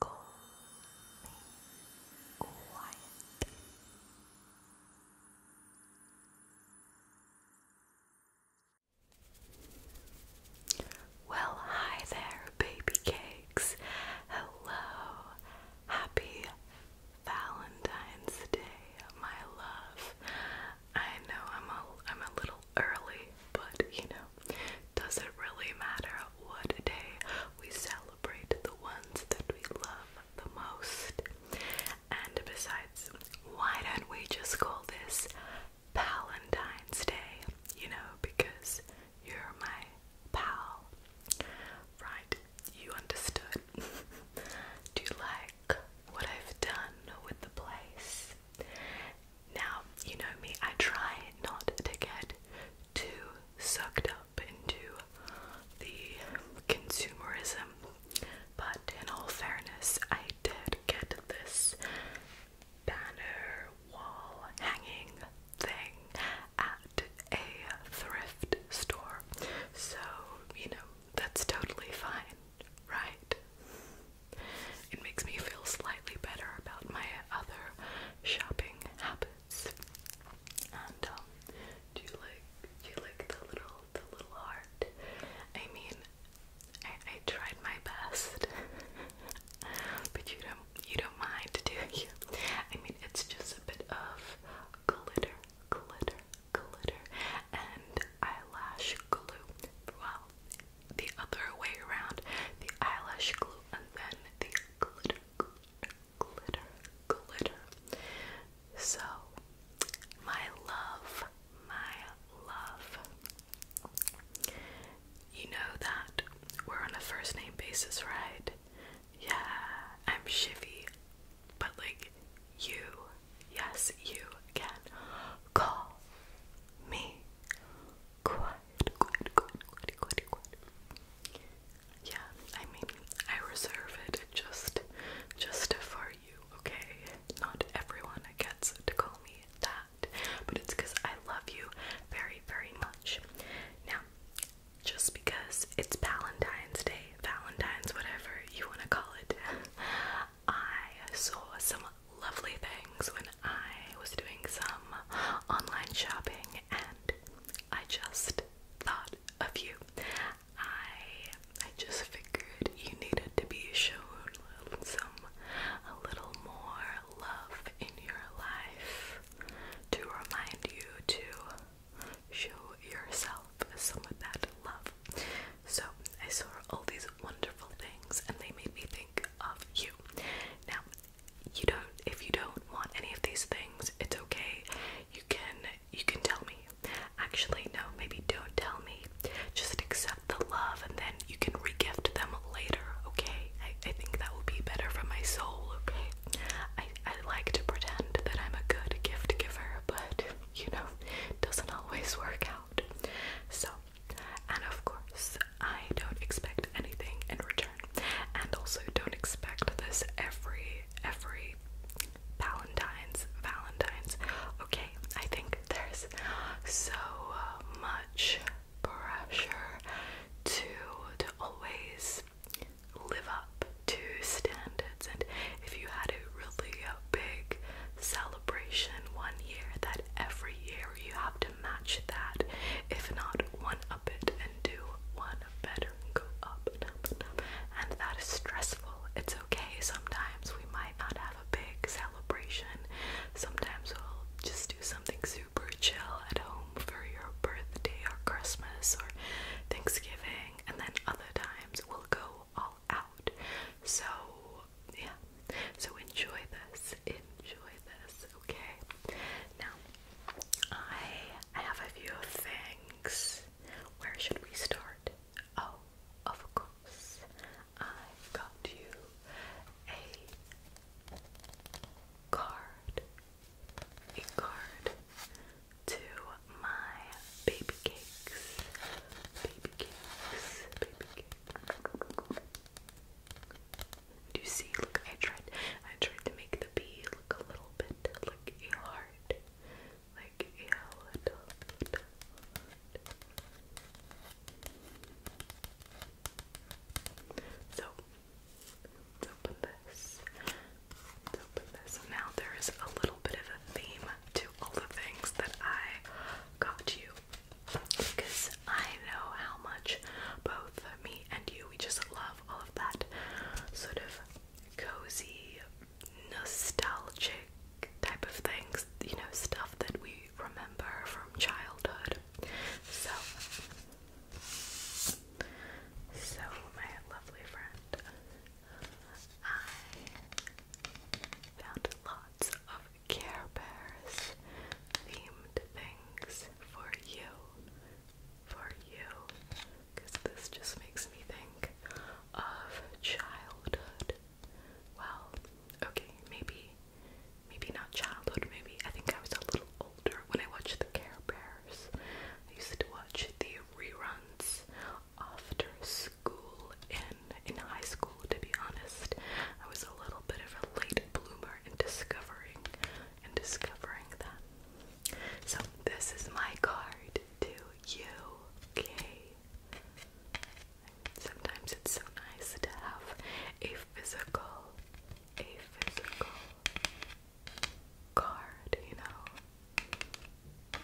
Go Well, hi there, baby cakes. Hello. Happy Valentine's Day, my love. I know I'm a I'm a little early, but you know, does it really matter what day we celebrate the ones that we love the most? And besides, why don't we just call this Valentine's Day? You know, because you're my pal. Right, you understood. Do you like what I've done with the place? Now, you know me, I try not to get too sucked up into the consumerism, but in all fairness, I did get this banner wall hanging thing at a thrift store. So, you know, that's totally fine, right? It makes me feel slightly better about my other shopping habits. And um, do you like do you like the little the little heart? I mean, I tried my best, but you don't you don't mind, do you? I mean, it's just a bit of glitter, glitter, glitter, and eyelash glue. Well, the other way around the eyelash glue and then the glitter, glitter, glitter. So, my love, my love. You know that we're on a first name basis, right? Yeah, I'm Shivy, but like you, yes, you can call me. Yeah, I mean, I reserve it just, just for you, okay? Not everyone gets to call me that, but it's because I love you very, very much. Now, just because it's Valentine's Day, Valentine's, whatever you want to call it, I saw some lovely things when I was doing some online shopping and I just thought of you. I I just figured you needed to be shown some a little more love in your life to remind you to show yourself some of that love. So I saw all these wonderful things and they made me think of you. Now you don't if you don't want any of these things, it's okay. You can you can tell me. Actually, no, maybe don't tell me. Just accept the love and then you can regift them later, okay? I, I think that would be better for my soul, okay? I, I like to pretend that I'm a good gift giver, but you know, doesn't always work out. So and of course, I don't expect anything in return. And also don't expect this every every Valentine's Valentine's. Okay, I think there's so much pressure to to always live up to standards and if you had a really big celebration one year that every year you have to match that. If not, one up it and do one better go up. And that is stressful. It's okay. Sometimes we might not have a big celebration. Sometimes we'll just do something super chill at home for your birthday or Christmas or Thanksgiving. And then other times we'll go all out. So, yeah. So enjoy this enjoy this, okay? Now, I have a few things. Where should we start? Oh, of course, i got you a card, a card to my baby cakes, baby cakes, baby cakes. Do you see? Look, I tried. I tried to make the bee look a little bit like a heart, like a heart. So let's open this. Let's open this. Now there is a little bit of a theme to all the things that I got you because I know how much both me and you we just love all of that sort of cozy, nostalgic type of things, you know, stuff that we remember from childhood. So so my lovely friend, I found lots of Care Bears themed things for you. For you. Because this just makes me think of childhood. Well, okay, maybe, maybe not childhood, maybe I think I was a little older when I watched the Care Bears. I used to watch the reruns after school in in high school to be honest. I was a little bit of a late bloomer in discovering and discovering them. So, this is my card to you, okay? Sometimes it's so nice to have a physical, a physical card, you know?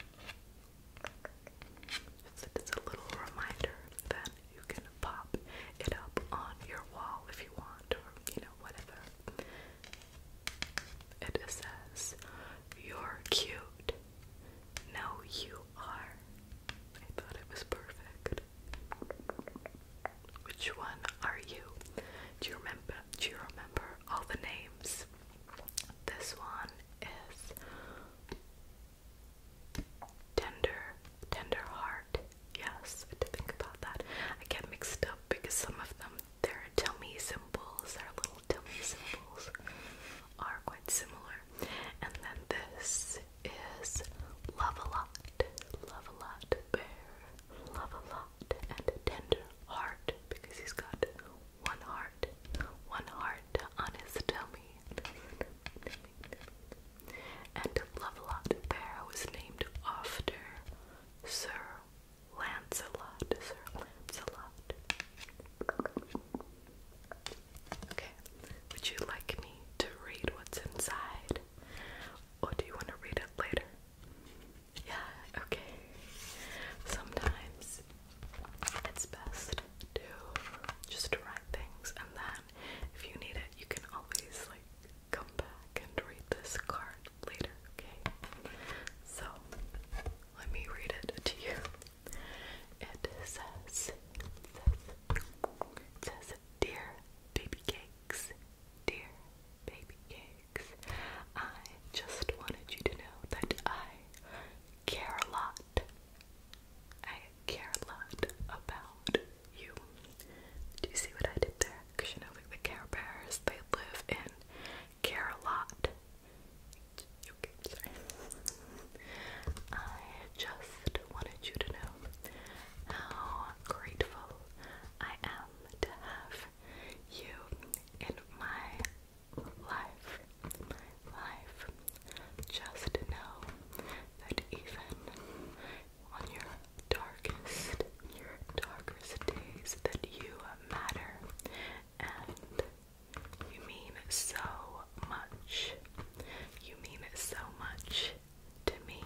It's it's a little reminder that you can pop it up on your wall if you want, or you know, whatever. It says, You're cute. Now you are. I thought it was perfect. Which one are you? Do you remember? Do you remember all the names? This one is Tender, Tender Heart, Yes, I did think about that. I get mixed up because some of them, their tummy symbols, their little tummy symbols, are quite similar. And then this is Love a Lot, Love a Lot Bear, Love a Lot, and a Tender Heart because he's got one heart, one heart on his tummy and Lovelock Fair was named after Sir Lancelot. Sir Lancelot. Okay, would you like me to read what's inside? Or do you want to read it later? Yeah, okay. Sometimes it's best to just write things and then if you need it, you can always like come back and read this card later, okay? So, let me read it to you. It says, says, says Dear Baby Cakes, Dear Baby Cakes, I just wanted you to know that I care a lot. I care a lot about you. Do you see what I did there? Because you know, like the Care Bears, they live and Care a Lot. I just wanted you to know how grateful I am to have you in my life. life. Just know that even on your darkest, your darkest days that you matter and you mean so much. You mean so much to me.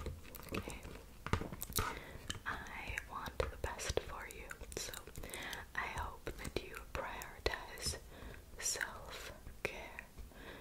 I want the best for you. So I hope that you prioritize self-care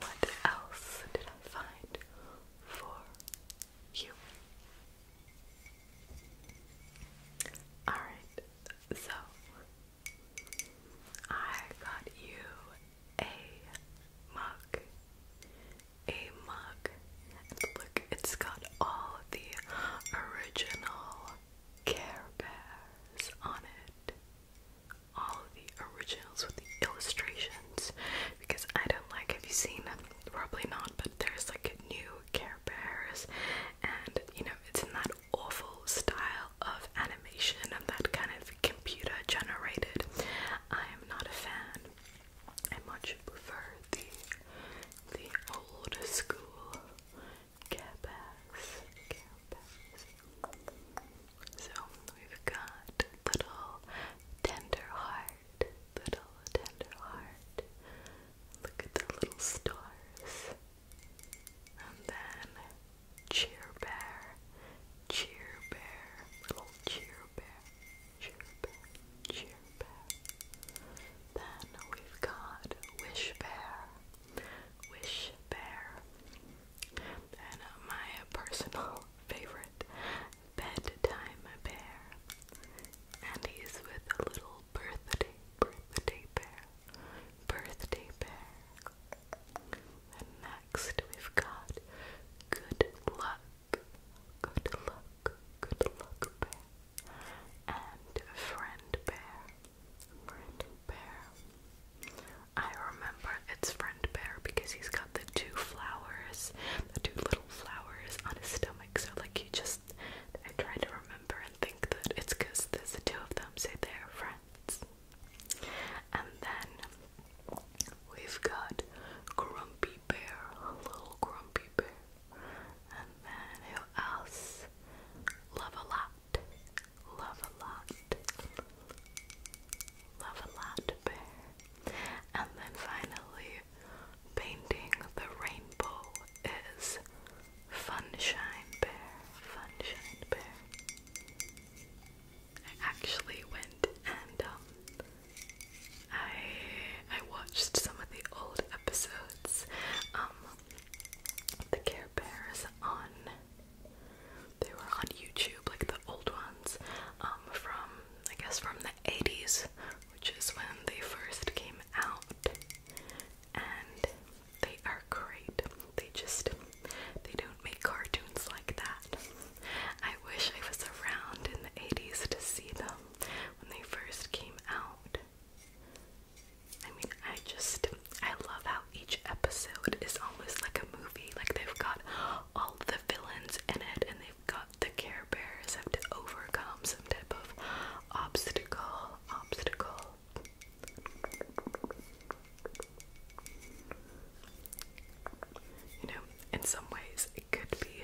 what else did I find for you? Alright, so I got you a mug. A mug. And look, it's got all the original Care Bears on it all the originals with the illustrations because I don't like have you seen probably not but there's like a new Care Bears and you know it's in that awful style of animation of that kind of computer generated. I am not a fan. I much prefer the the old school Care Bears. So we've got little tender heart, little tender heart. Look at the little stars. And then cheer bear, cheer bear, little cheer bear, cheer bear, cheer bear. Then we've got wish bear, wish bear. And uh, my personal favorite, Bedtime Bear. And he's with a little birthday, birthday bear. Birthday bear. And next we've got Good Luck. Good Luck. Good Luck Bear. And Friend Bear. Friend Bear. I remember it's friend bear because he's got the two flowers, the two little flowers on his stomach. So like he just, I try to remember and think that it's because there's the two of them, say they're friends. And then we've got Grumpy Bear, little Grumpy Bear. And then who else? Love a lot. Love a lot. Love a lot. And then finally, painting the rainbow is Funshine Bear. Funshine Bear. I actually went and um, I I watched some of the old episodes um the Care Bears on they were on YouTube, like the old ones, um, from I guess from the 80s, which is when they first came out. And they are great. They just they don't make cartoons like that. I wish I was around in the 80s to see them when they first came out. I mean, I just I love how each episode is almost like a movie. Like they've got all the villains in it, and they've got the Care Bears have to overcome some type of obstacle. Obstacle. You know, in some ways, it could be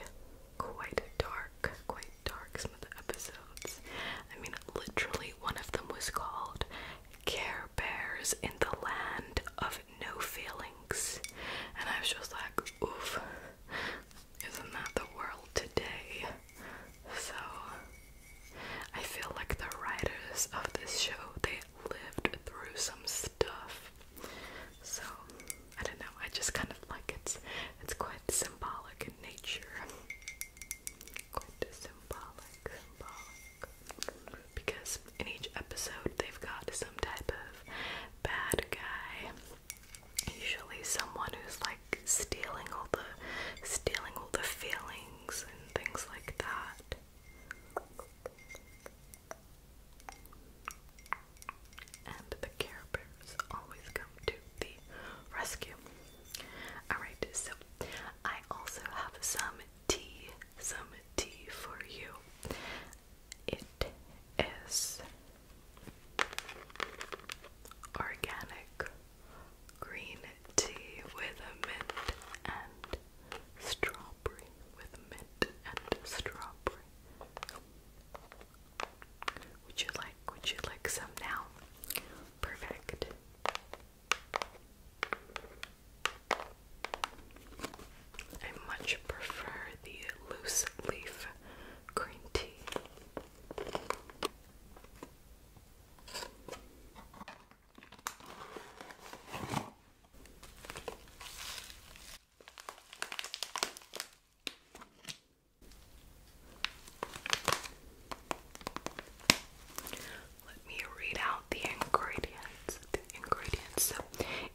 quite dark, quite dark. Some of the episodes. I mean, literally, one of them was called Care Bears in the Land of no feelings. And I was just like, oof, isn't that the world today? So I feel like the writers of this show, they lived through some stuff. So I don't know, I just kind of like it's it's quite symbolic in nature. Quite symbolic, because in each episode they've got some type of bad guy. Usually someone who's like stealing all the stealing all the feelings and things like that. And the Care Bears always come to the rescue. Alright, so I also have some tea, some tea for you. It is organic green tea with mint and strawberry with mint and strawberry. Would you like would you like some now? Perfect. I much prefer the loose leaf green tea. Let me read out the ingredients besides the ingredients,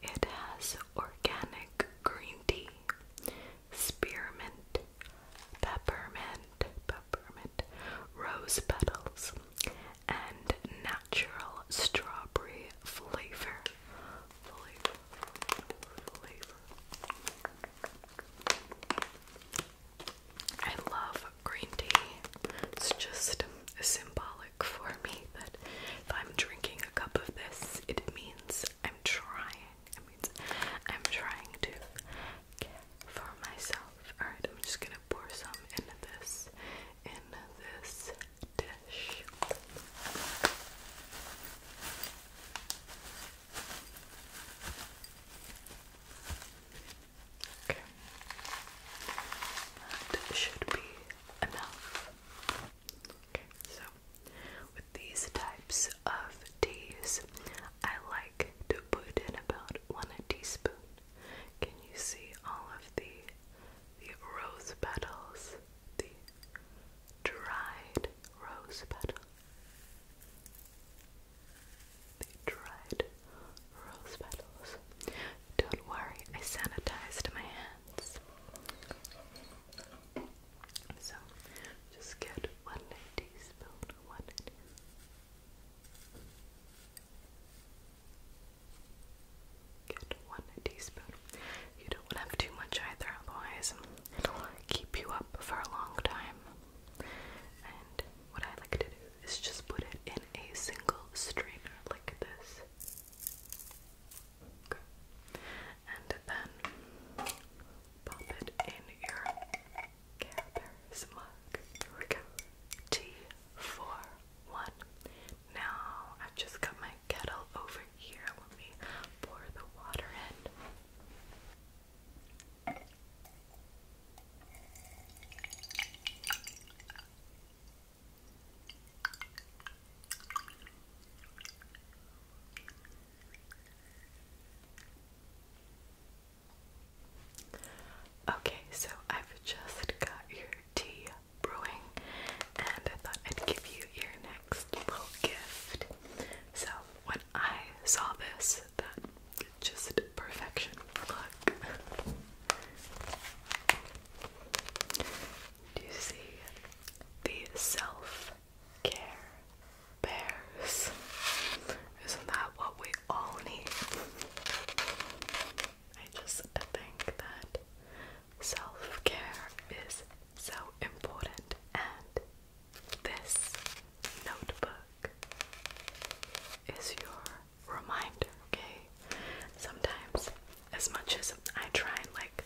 it has organic green tea, spearmint, peppermint, peppermint, rose petals, and natural strawberry flavor. Flavor, flavor. I love green tea. It's just symbolic for me that if I'm drinking a cup of this, it means I'm trying. It means I'm trying to care for myself. Alright, I'm just gonna pour some into this in this dish. Okay. That should be enough. so with these types of teas, I like to put in about one teaspoon. Can you see all of the the rose petals? The dried rose petal. The dried rose petals. Don't worry, I sanitized my hands hands. So just get one teaspoon, one Get one teaspoon. You don't want to have too much either, otherwise it'll keep you up for a long time. And what I like to do is just put it in a single strainer like this. Okay. And then pop it in your Carebear's mug. Here we go. T41. Now I've just got my kettle over here. Let me pour the water in. Okay, so I've just got your tea brewing, and I thought I'd give you your next little gift. So, when I saw this, that just perfection. Look do you see the self care bears? Isn't that what we all need? I just think that self care is so important, and this notebook is your reminder, okay? Sometimes as much as I try and like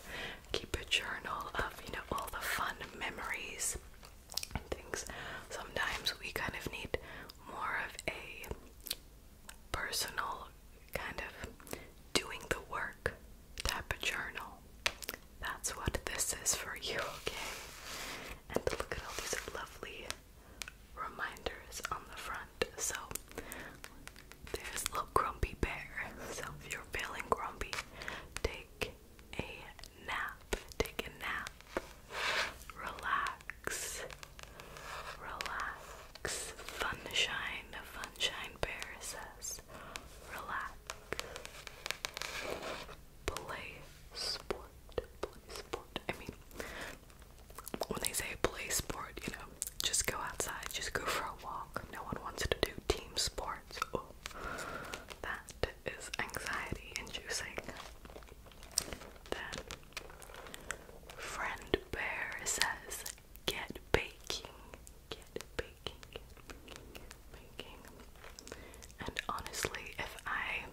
keep a journal of, you know, all the fun memories and things, sometimes we kind of need more of a personal kind of doing the work type of journal. That's what this is for you, okay? And look at all these lovely reminders on the front. So there's little grumpy bear. So if you're feeling grumpy, take a nap. Take a nap. Relax. Relax. Funshine. Funshine Bear says, relax. Play sport. Play sport. I mean, when they say play sport, you know, just go outside, just go for a walk. No one wants to do team sports. that is anxiety inducing. Then, friend bear says, get baking, get baking, get baking. And honestly, if I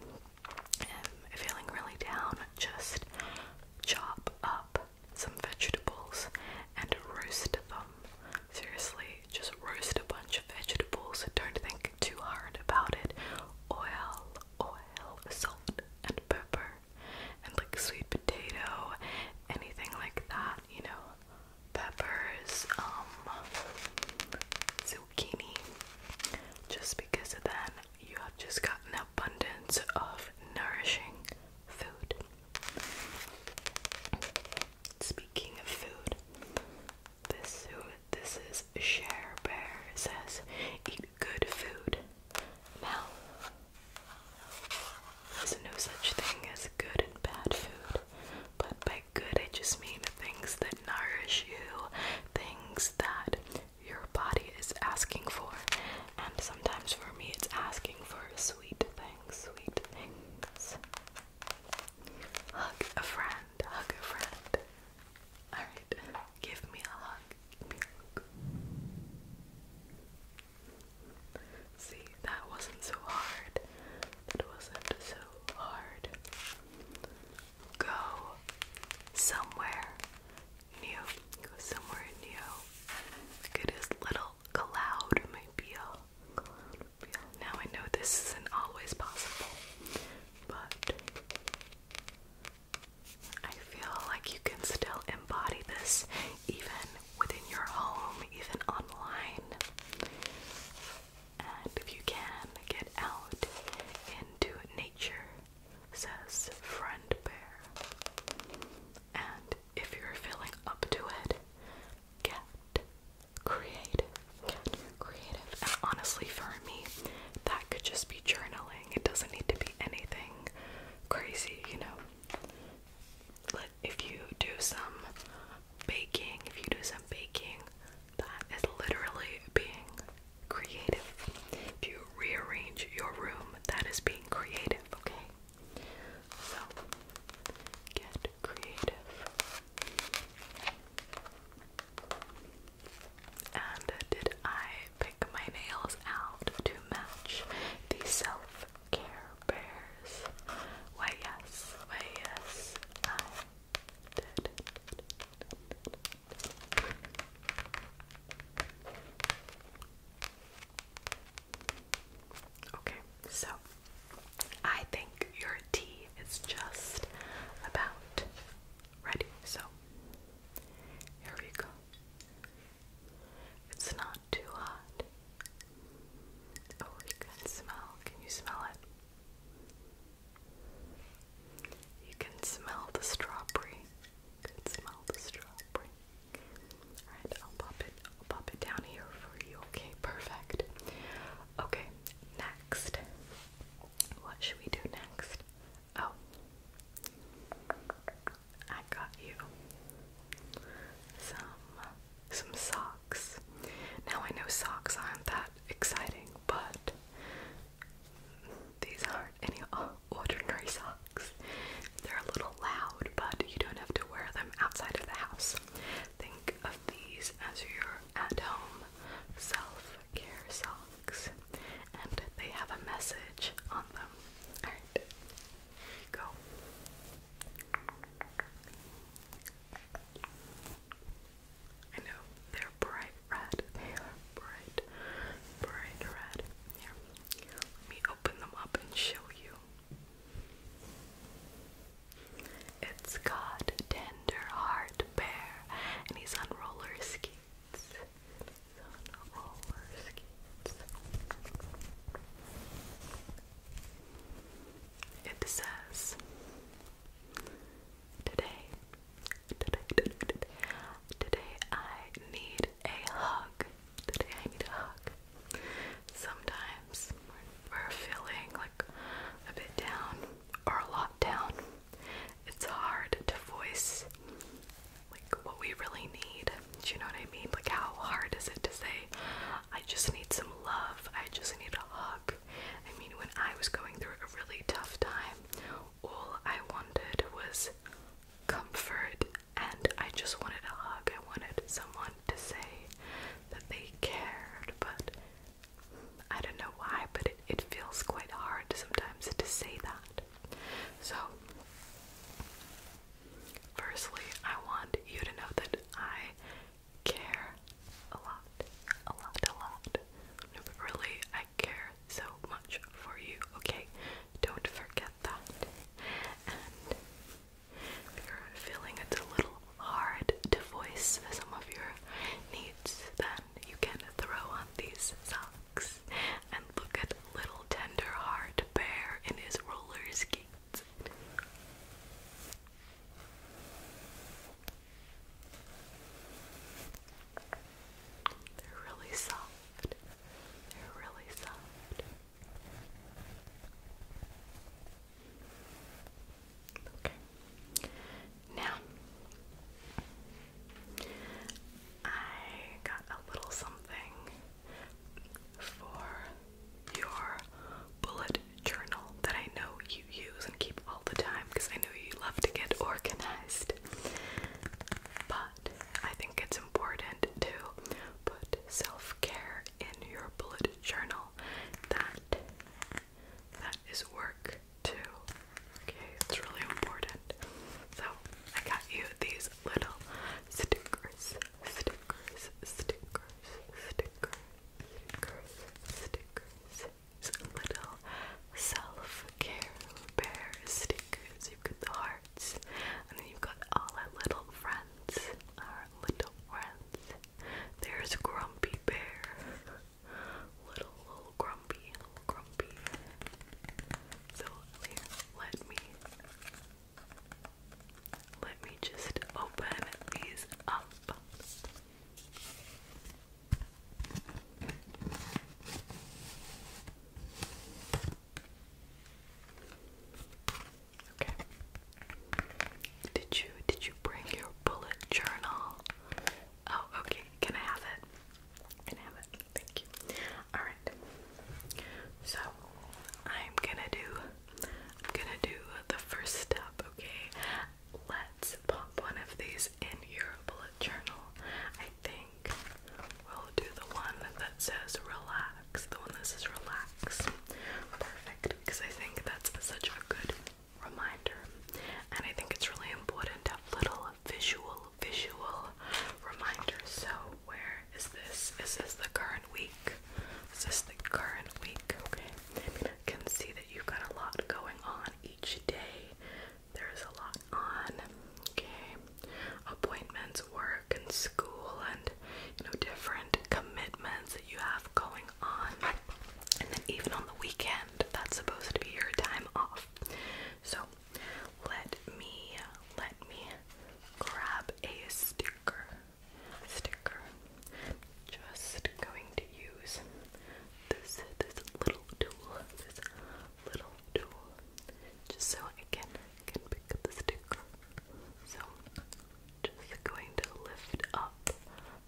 am feeling really down, just chop up some vegetables, and roast them. Seriously, just roast a bunch of vegetables. Don't think too hard about it. Oil, oil, salt, and pepper, and like sweet potato, anything like that, you know. Peppers, um, zucchini. Just because then you have just got an abundance of nourishing food. Speaking of food, this this is Share Bear says eat good food. Now there's no such thing as good and bad food, but by good I just mean things that nourish you, things that your body is asking for and sometimes for me, it's asking for sweet things, sweet things. Hug a friend, hug a friend. Alright, give me a hug. Give me a hug. See, that wasn't so hard. That wasn't so hard. Go somewhere new. Go somewhere new. Look his little cloud, my Now I know this isn't always possible, but I feel like you can still embody this even within your home, even online. And if you can, get out into nature, says Friend Bear. And if you're feeling up to it, get creative. creative. And honestly, for me, that could just be journaling. It doesn't need to be anything crazy, you know. But if you do some baking, if you do some baking, that is literally being creative. If you rearrange your room, that is being creative, okay? So get creative. And did I pick my nails out to match the self care bears? Why yes, why yes, I did. Okay, so I think your tea is just about ready. So here we go. It's not too hot. Oh, you can smell. Can you smell it? You can smell the strawberry. Could smell strawberry. Alright, I'll pop it I'll pop it down here for you. Okay, perfect. Okay, next. What should we do next? Oh. I got you some some socks. Now I know socks aren't that exciting, but these aren't any ordinary socks. They're a little loud, but you don't have to wear them outside of the house. Think of these as your at home self care socks, and they have a message on them. Alright, go. I know they're bright red. bright, bright red. Here, let me open them up and show you. It's got Tender Heart Bear, and he's on roller skates. It says, today, today, today, today I need a hug. Today I need a hug. Sometimes we're feeling like a bit down or a lot down. It's hard to voice like what we really need. Do you know what I mean? Like how hard is it to say, I just need some love, I just need a hug. I mean when I was going through a really tough time, all I wanted was comfort and I just wanted a hug. I wanted someone to say that they cared, but I don't know why, but it, feels quite hard sometimes to say that. So, firstly, I want you to know that I care a lot, a lot, a lot. Really, I care so much for you, okay? Don't forget that. And if you're feeling it's a little hard to voice some of your needs, then you can throw on these socks and look at little tender heart bear in his roller skates. They're really soft. They're really soft. Okay. Now, I got a little something for your bullet journal that I know you use and keep all the time because I know you love to get organized. But I think it's important to put self care in your bullet journal. That that is work too. Okay, it's really important. So I got you these little stickers, stickers, stickers, stickers, stickers, stickers. Little self care bear stickers. You get the heart hearts. And then you've got all our little friends. Our little friends. There's Grumpy Bear. Little, little Grumpy, little Grumpy. So let me, let me just open these up. Did you did you bring your bullet journal? Oh, okay. Can I have it? Can I have it? Thank you. All right. So I'm gonna do I'm gonna do the first step. Okay. Let's pop one of these in your bullet journal. I think we'll do the one that says relax, the one that says relax. Perfect, because I think that's such a good reminder. And I think it's really important to have little visual, visual reminders. So, where is this? Is this the current week? Is this the current week? Okay. I can see that you've got a lot going on each day. There's a lot on. Okay appointments, work and school and you know different commitments that you have going on. And then even on the weekend, that's supposed to be your time off. So let me let me grab a sticker. Sticker. Just going to use this this little tool. This little tool. Just so I can can pick up the sticker. So, just going to lift up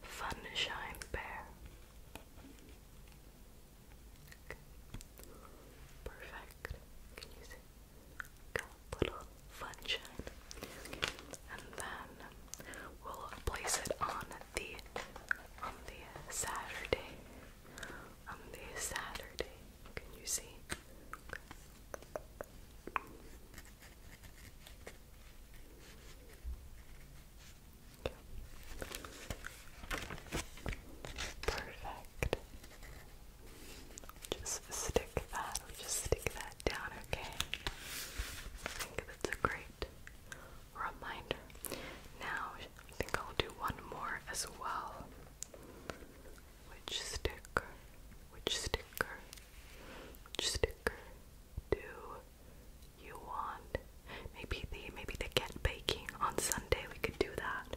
Funshine Bear. Perfect. Can you see? Got Funshine. And then we'll place it on the on the Saturday on this Saturday. Can you see? Perfect. Just stick that, just stick that down, okay? I think that's a great reminder. Now, I think I'll do one more as well. Which sticker? Which sticker? Which sticker do you want? Maybe the maybe the cat baking on Sunday we could do that.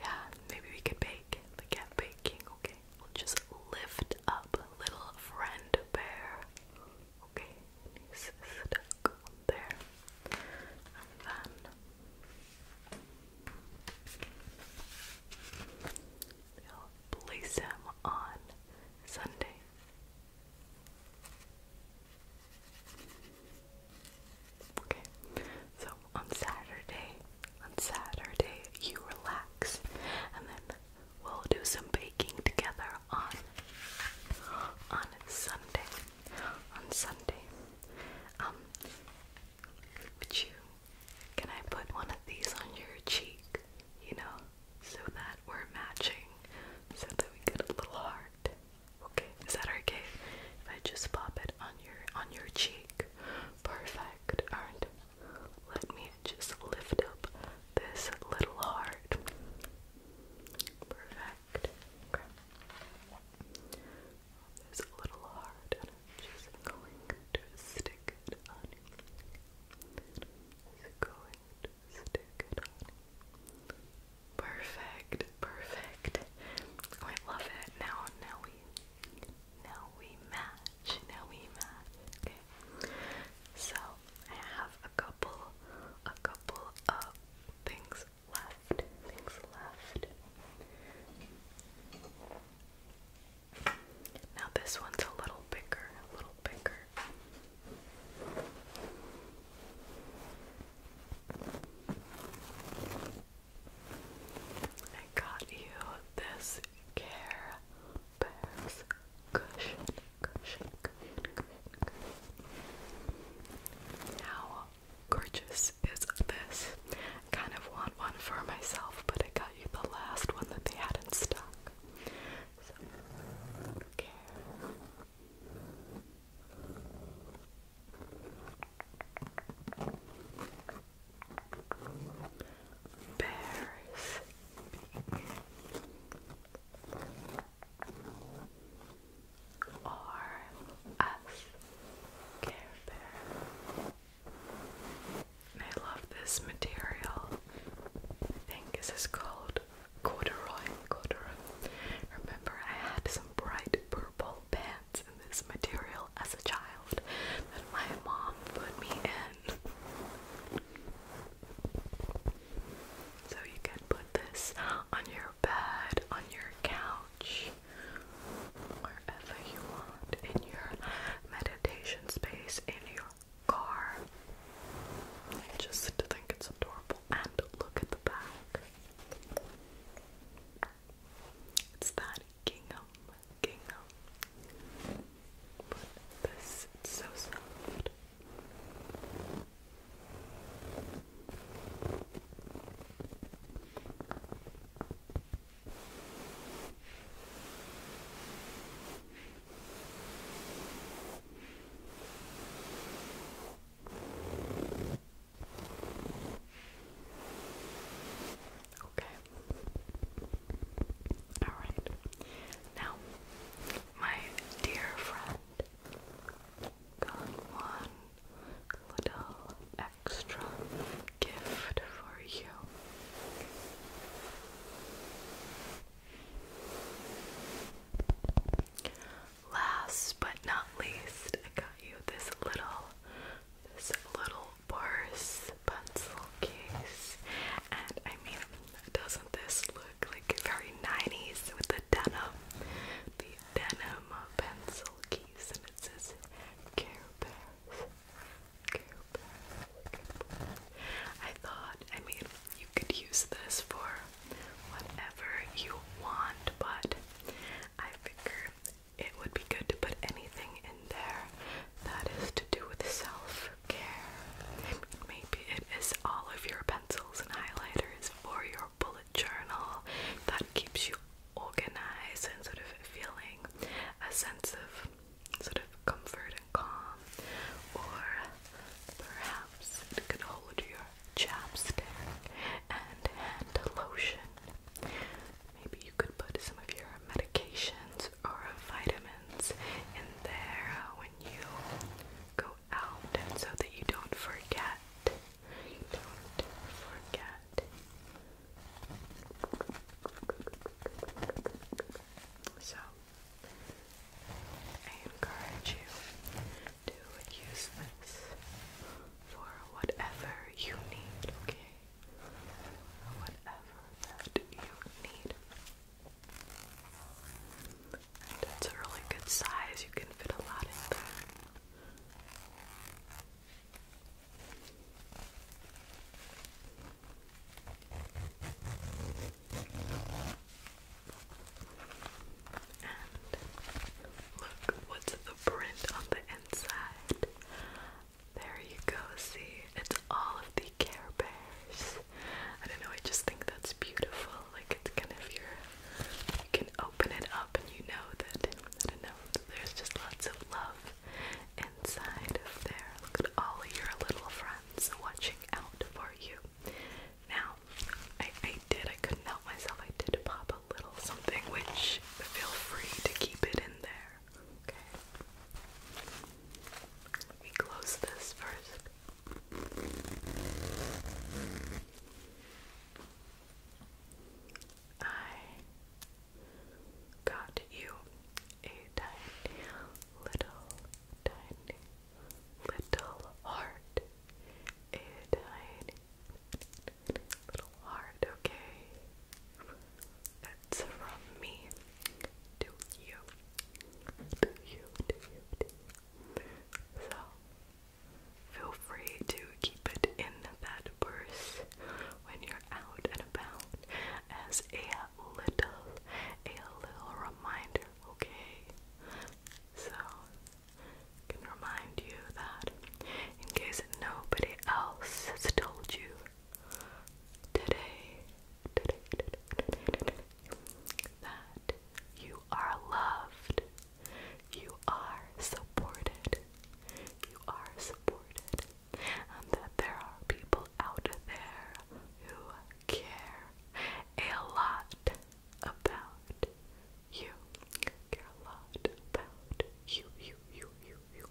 Yeah, maybe we could bake the cat baking. Okay, we'll just lift up little friend bear. Okay, there, and then We'll place him on Sunday. Okay, so on Saturday, on Saturday you relax, and then we'll do some baking together on on Sunday. On Sunday, um, but you, can I put one of these on your cheek? You know, so that we're matching, so that we get a little heart. Okay, is that okay? If I just pop it on your on your cheek, perfect. Alright, let me just lift up this little heart. Perfect there's a little heart and i just going to stick Perfect, perfect. Oh, I love it. Now, now we, now we match. Now we match. Okay. So I have a couple, a couple of things left. Things left. Now this one's a little bigger, a little bigger. I got you this Care Bears cushion, cushion, cushion, cushion. Now gorgeous is this? I kind of want one for myself, but I got you the last one that they had in stock. okay. Bears. Or Care Bear. I love this material. I think this is called corduroy. Corduroy. Remember, I had some bright purple pants in this material as a child that my mom put me in. So you can put this on your bed, on your couch, wherever you want, in your meditation space, in your car. I just think it's adorable. And look at the back. It's that gingham, gingham. But this, it's so soft. Okay. All right. Now, my dear friend got one little extra gift for you. Last but not least, I got you this little this little purse pencil case. And I mean, doesn't this look like very 90s with the denim? The denim pencil case and it says Care Bear I thought, I mean, you could use this for whatever you want, but I figure it would be good to put anything in there that is to do with self care. Maybe it is all of your pencils and highlighters for your bullet journal that keeps you organized and sort of feeling a sense of sort of comfort and calm, or perhaps it could hold your chapstick and hand lotion. Maybe you could put some of your medications or vitamins in there when you go out so that you don't forget. don't forget that. So, I encourage you to use this for whatever you need, okay? Whatever that you need. And a really good size, you can fit a lot in there look, what's the print on the inside? There you go, see? It's all of the Care Bears. I don't know, I just think that's beautiful. Like, it's kind of You can open it up and you know that, I don't know, there's just lots of love inside there. Look at all your little friends watching out for you. Now, I, I did, I couldn't help myself, I did pop a little something, which feel free to keep it in there. Okay? Let me close this first. I got you a tiny little, tiny little heart. A tiny little heart, okay? That's from me to you. To you, to you, So, feel free to keep it in that purse when you're out and about as a little a little reminder, okay? So can remind you that in case nobody else has told you today, today that you are loved, you are supported, you are supported, that there are people out there who care a lot about you. Care a lot about you, you, you, you, you.